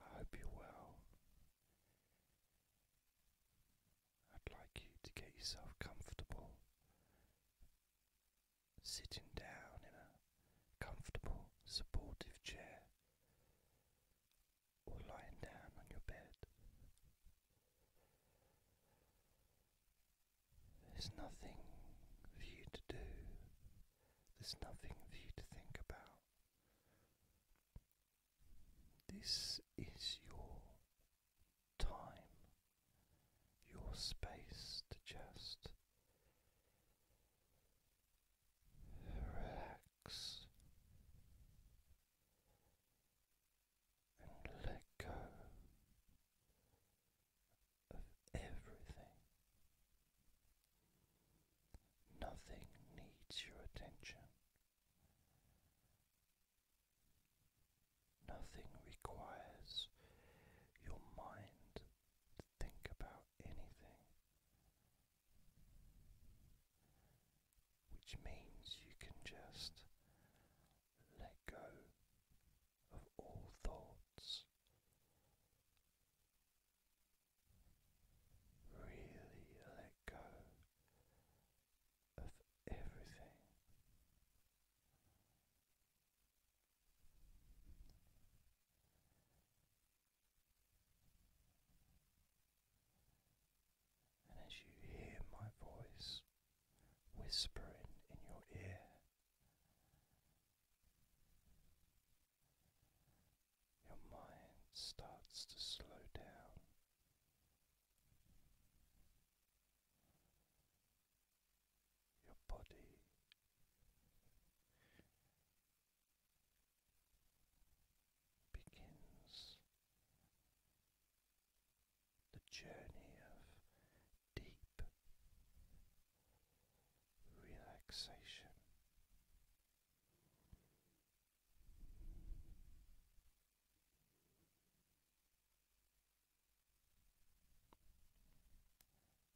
I hope you're well. I'd like you to get yourself comfortable, sitting down in a comfortable, supportive chair, or lying down on your bed. There's nothing for you to do, there's nothing for you to think about. This is your time, your space to just relax and let go of everything. Nothing needs your attention. Nothing requires your mind to think about anything, which means you can just let go of all thoughts. Really let go of everything. And as you hear my voice whispering in your ear, your mind starts to slow down. Your body begins the journey of deep relaxation.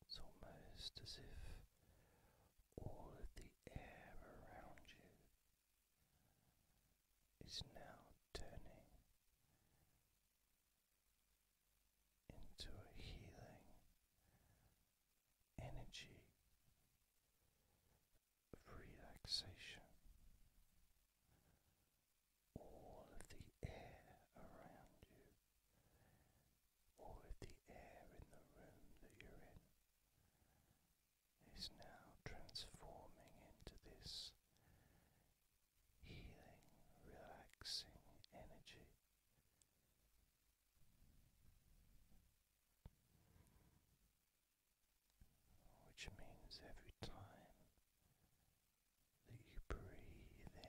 It's almost as if all of the air around you is now turning into a healing energy of relaxation. All of the air around you, all of the air in the room that you're in, is now transforming into this healing, relaxing energy. Which means every time that you breathe in,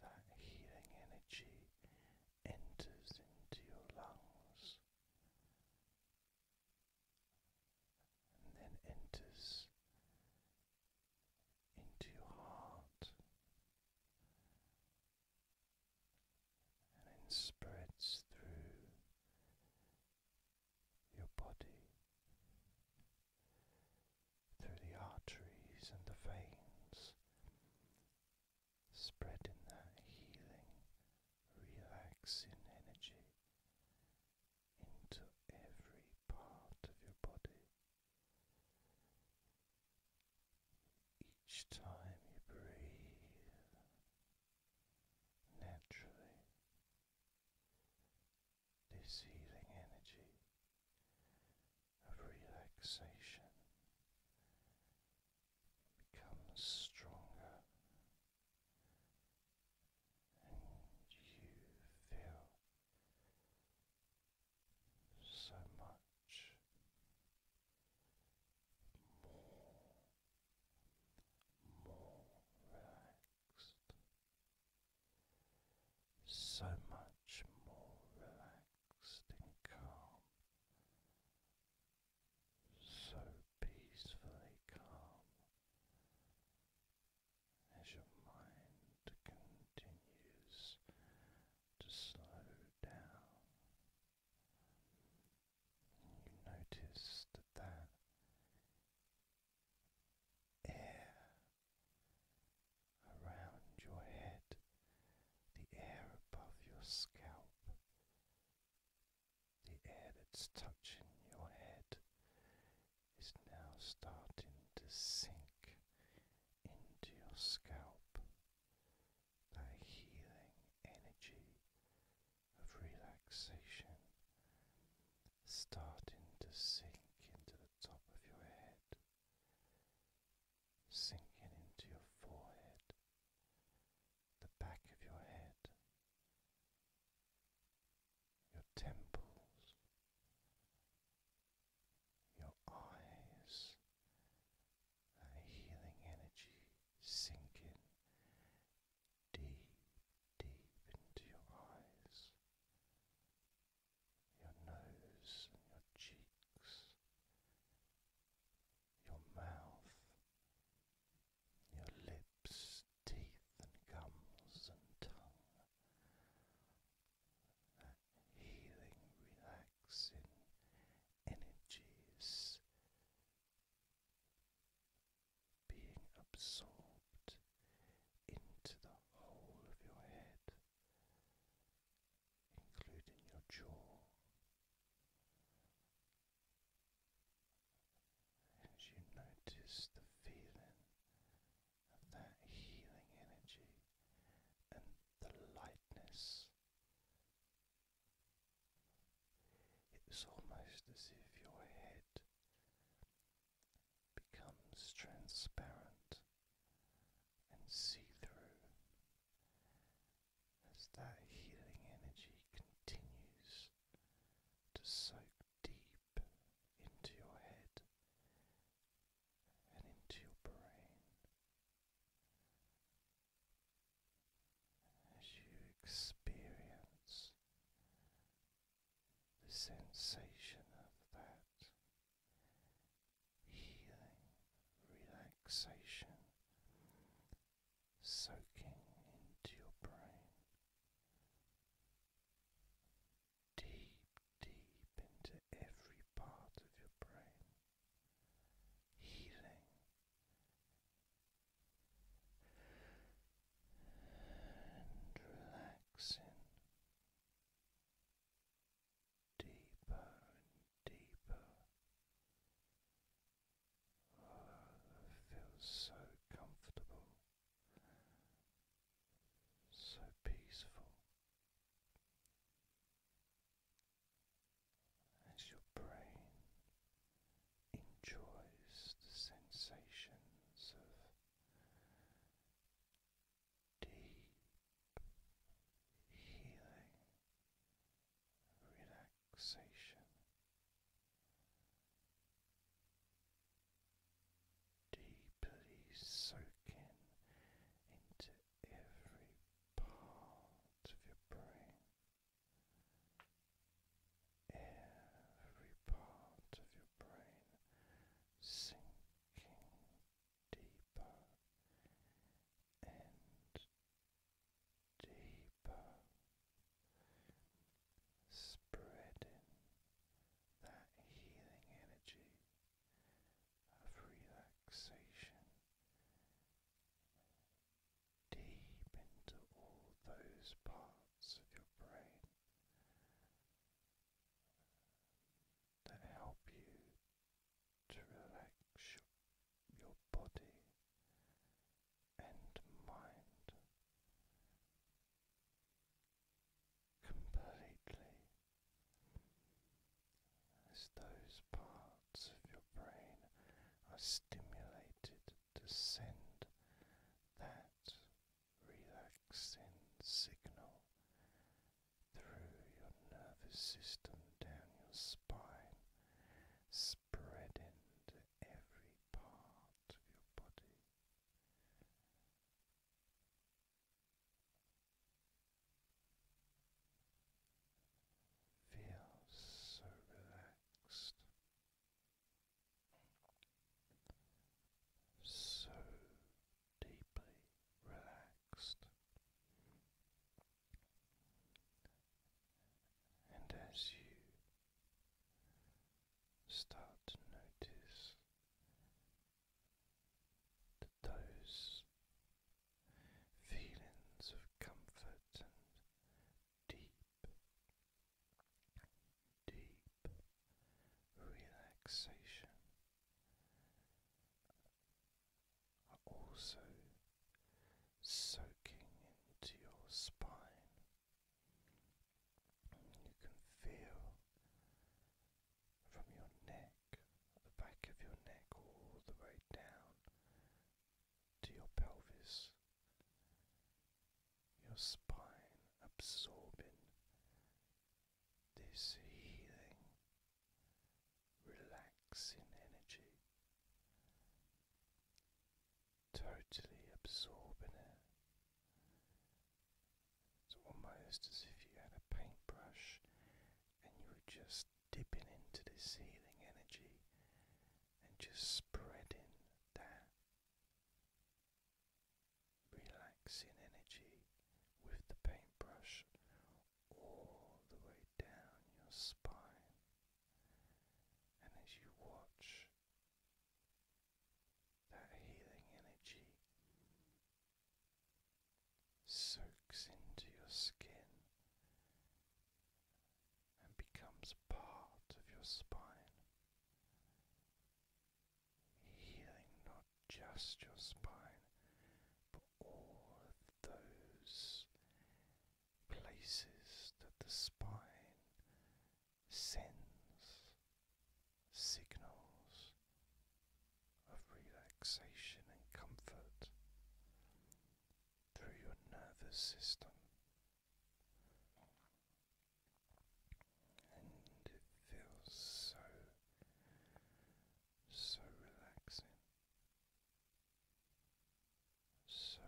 that healing energy enters into your lungs and then enters into your heart and then spreads through your body through the arteries and the veins, spreading that healing, relaxing energy into every part of your body. Each time you breathe naturally, this healing energy of relaxation becomes stronger and you feel so much more, more relaxed, so much more relaxed and calm so peacefully calm as your mind continues to slow down. You notice that that air around your head, the air above your scalp, the air that's touching your head is now starting to sink into your scalp. That healing energy of relaxation starting to sink into the top of your head, sinking into your forehead the back of your head, your temples, your eyes, a healing energy sinking deep, deep into your eyes, your nose and your cheeks. Your mouth, your lips, teeth, and gums and tongue. That healing, relaxing energies being absorbed into the whole of your head, including your jaw, as you notice the feeling of that healing energy and the lightness, it almost as if your head becomes transparent and see through, as that healing energy continues to soak deep into your head and into your brain. As you experience the sensation of that healing relaxation soaking into your brain, deep, deep into every part of your brain, healing. And relaxing deeper and deeper feels so comfortable, so peaceful. As your brain enjoys the sensations of deep healing, relaxation relaxation. Deeply soaking into every part of your brain, every part of your brain sinking deeper and deeper, spreading that healing energy of relaxation deep into all those parts of your brain that help you to relax your, body and mind completely as those parts of your brain are stimulated to send that relaxing signal through your nervous system down your spine spreading to every part of your body. Feel so relaxed, so deeply relaxed. And as you start to notice those feelings of comfort and deep, deep relaxation are also soaking into your spine. You can feel from your neck, the back of your neck, all the way down to your pelvis, your spine absorbing this healing relaxing energy, totally absorbing it. It's almost as if you had a paintbrush and you were just dipping into this healing energy and just spreading that relaxing energy with the paintbrush all the way down your spine, and as you watch that healing energy soaks into your skin and becomes part of your spine, healing not just your spine but all those places that the spine sends signals of relaxation and comfort through your nervous system. And it feels so, so relaxing so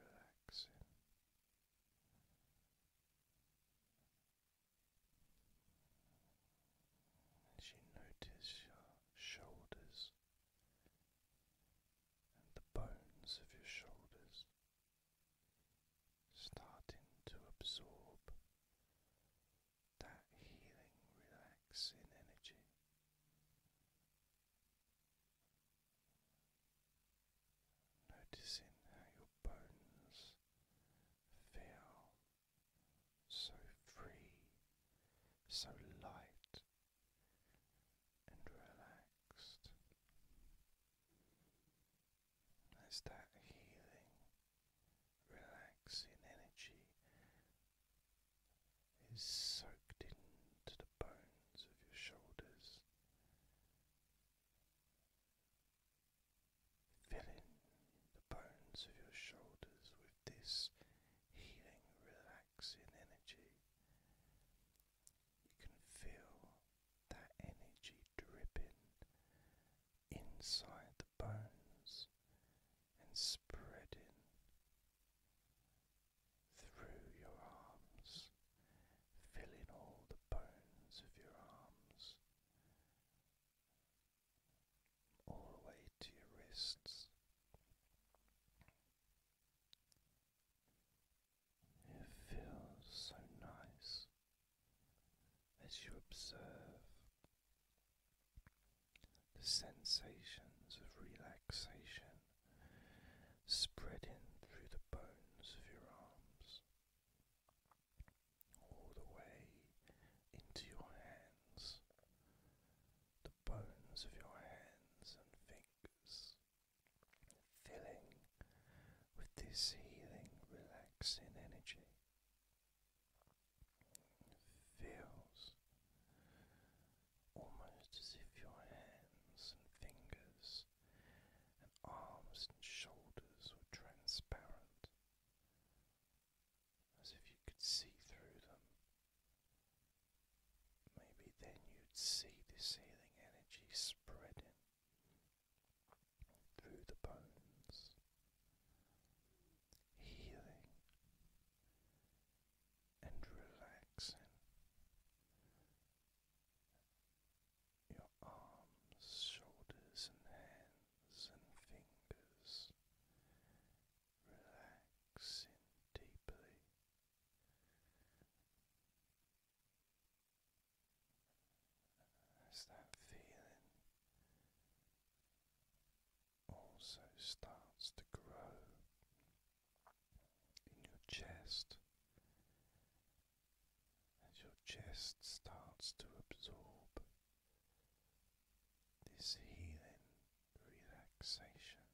relaxing. As you notice your shoulders and the bones of your shoulders starting to absorb that healing, relaxing energy. Noticing how your bones feel so free, so light and relaxed. There's that healing relaxing energy is soaked into the bones of your shoulders, filling the bones of your shoulders with this healing, relaxing energy. You can feel that energy dripping inside the bones and spreading through your arms, filling all the bones of your arms all the way to your wrists. It feels so nice as you observe the sensations of relaxation spreading through the bones of your arms, all the way into your hands, the bones of your hands and fingers. Filling with this healing, relaxing energy, feels almost as if your hands and fingers and arms and shoulders were transparent, as if you could see through them. Maybe then you'd see the healing energy spreading through the bones, healing and relaxing your arms, shoulders, and hands and fingers, relaxing deeply. As that feeling also starts to grow in your chest as your chest starts to absorb this healing relaxation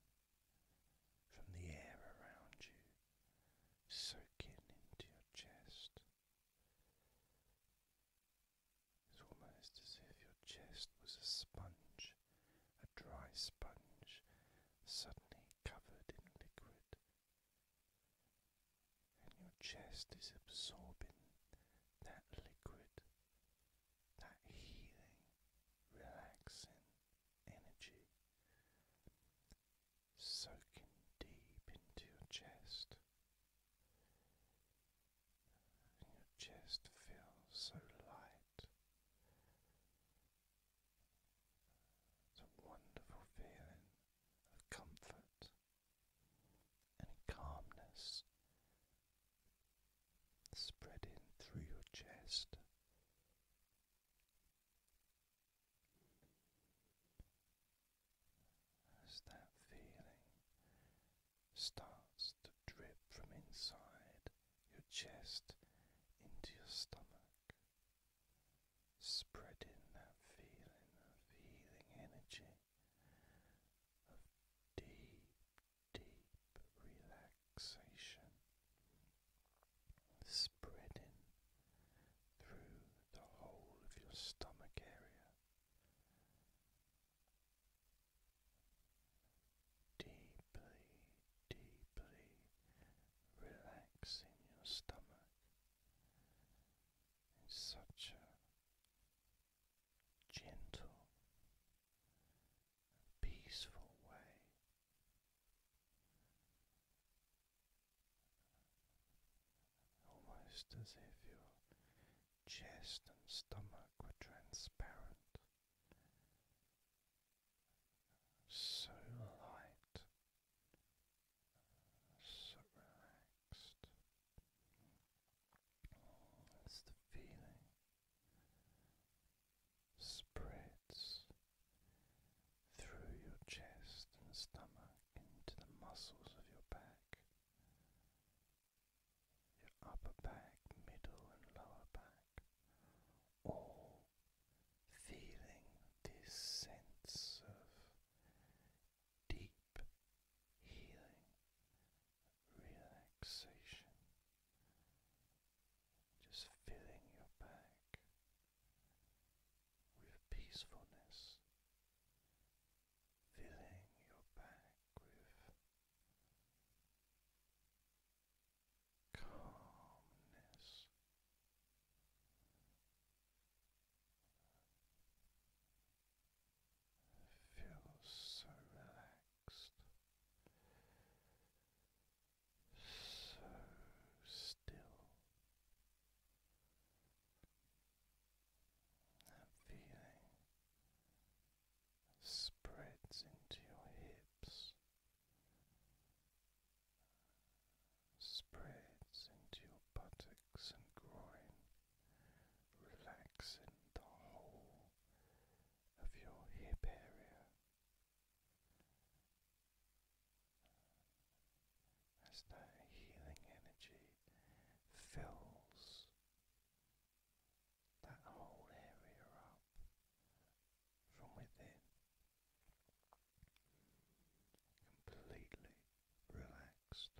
from the air around you soaking into your chest it's almost as if your chest was a sponge, a dry sponge, suddenly covered in liquid. And your chest is absorbing that liquid, that healing, relaxing energy, soaking deep into your chest your chest feels so light. It's a wonderful feeling of comfort and calmness spreading through your chest as that feeling starts to drip from inside your chest into your stomach, spreading that feeling of healing energy of deep, deep relaxation. Spreading through the whole of your stomach area, deeply, deeply relaxing your stomach in such a gentle peaceful way almost as if your chest and stomach were transparent, so light, so relaxed. As the feeling spreads through your chest and stomach into the muscles of your back, your upper back, middle, and lower back, all feeling this sense of deep healing, relaxation, just filling your back with peacefulness, filling your back with calmness. Feel so relaxed, so still. That feeling spreads into your hips, spreads into your buttocks and groin, relaxing the whole of your hip area as that healing energy fills that whole area up from within, completely relaxed.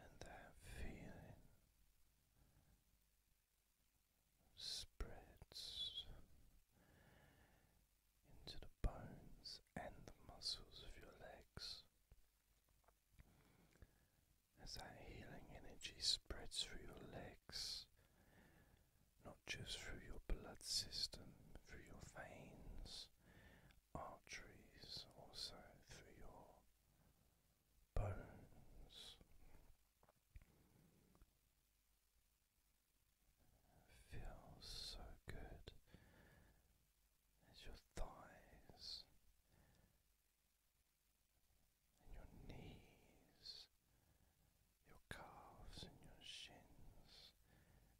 And that feeling spreads into the bones and the muscles of your legs. As that healing energy spreads through your legs, not just through your blood system, through your veins, arteries, also through your bones. Feels so good as your thighs and your knees, your calves and your shins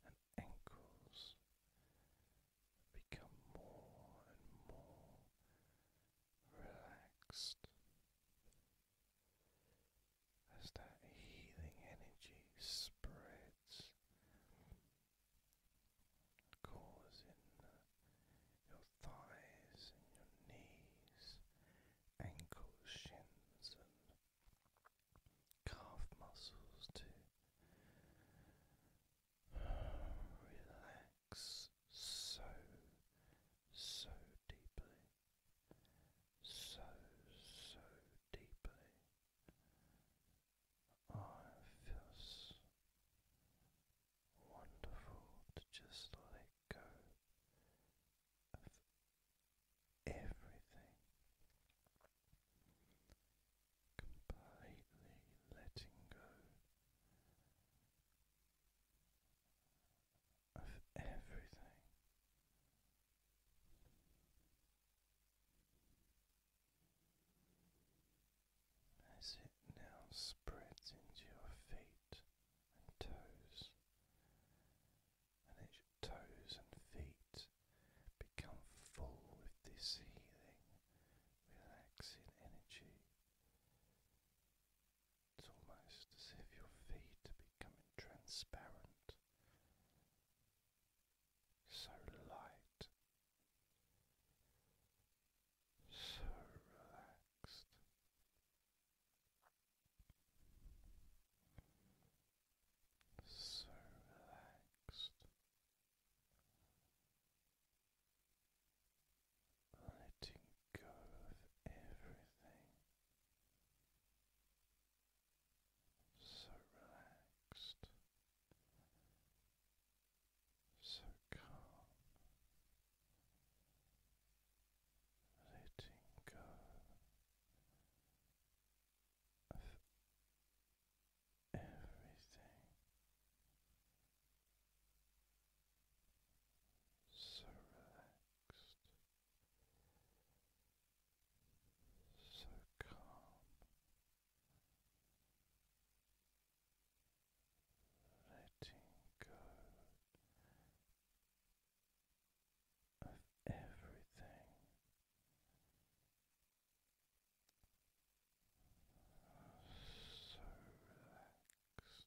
and ankles become more and more relaxed as that healing energy spreads, causing your thighs and your knees, ankles, shins, and calf muscles to relax so, so deeply, so, so deeply. Oh, it wonderful to just let go of everything, completely letting go of everything. As it now spreads into your feet and toes, and as toes and feet become full with this healing, relaxing energy, it's almost as if your feet are becoming transparent, so light, so relaxed. So relaxed, letting go of everything, so relaxed, so calm, letting go of everything so relaxed, so calm. Letting go of everything, so relaxed,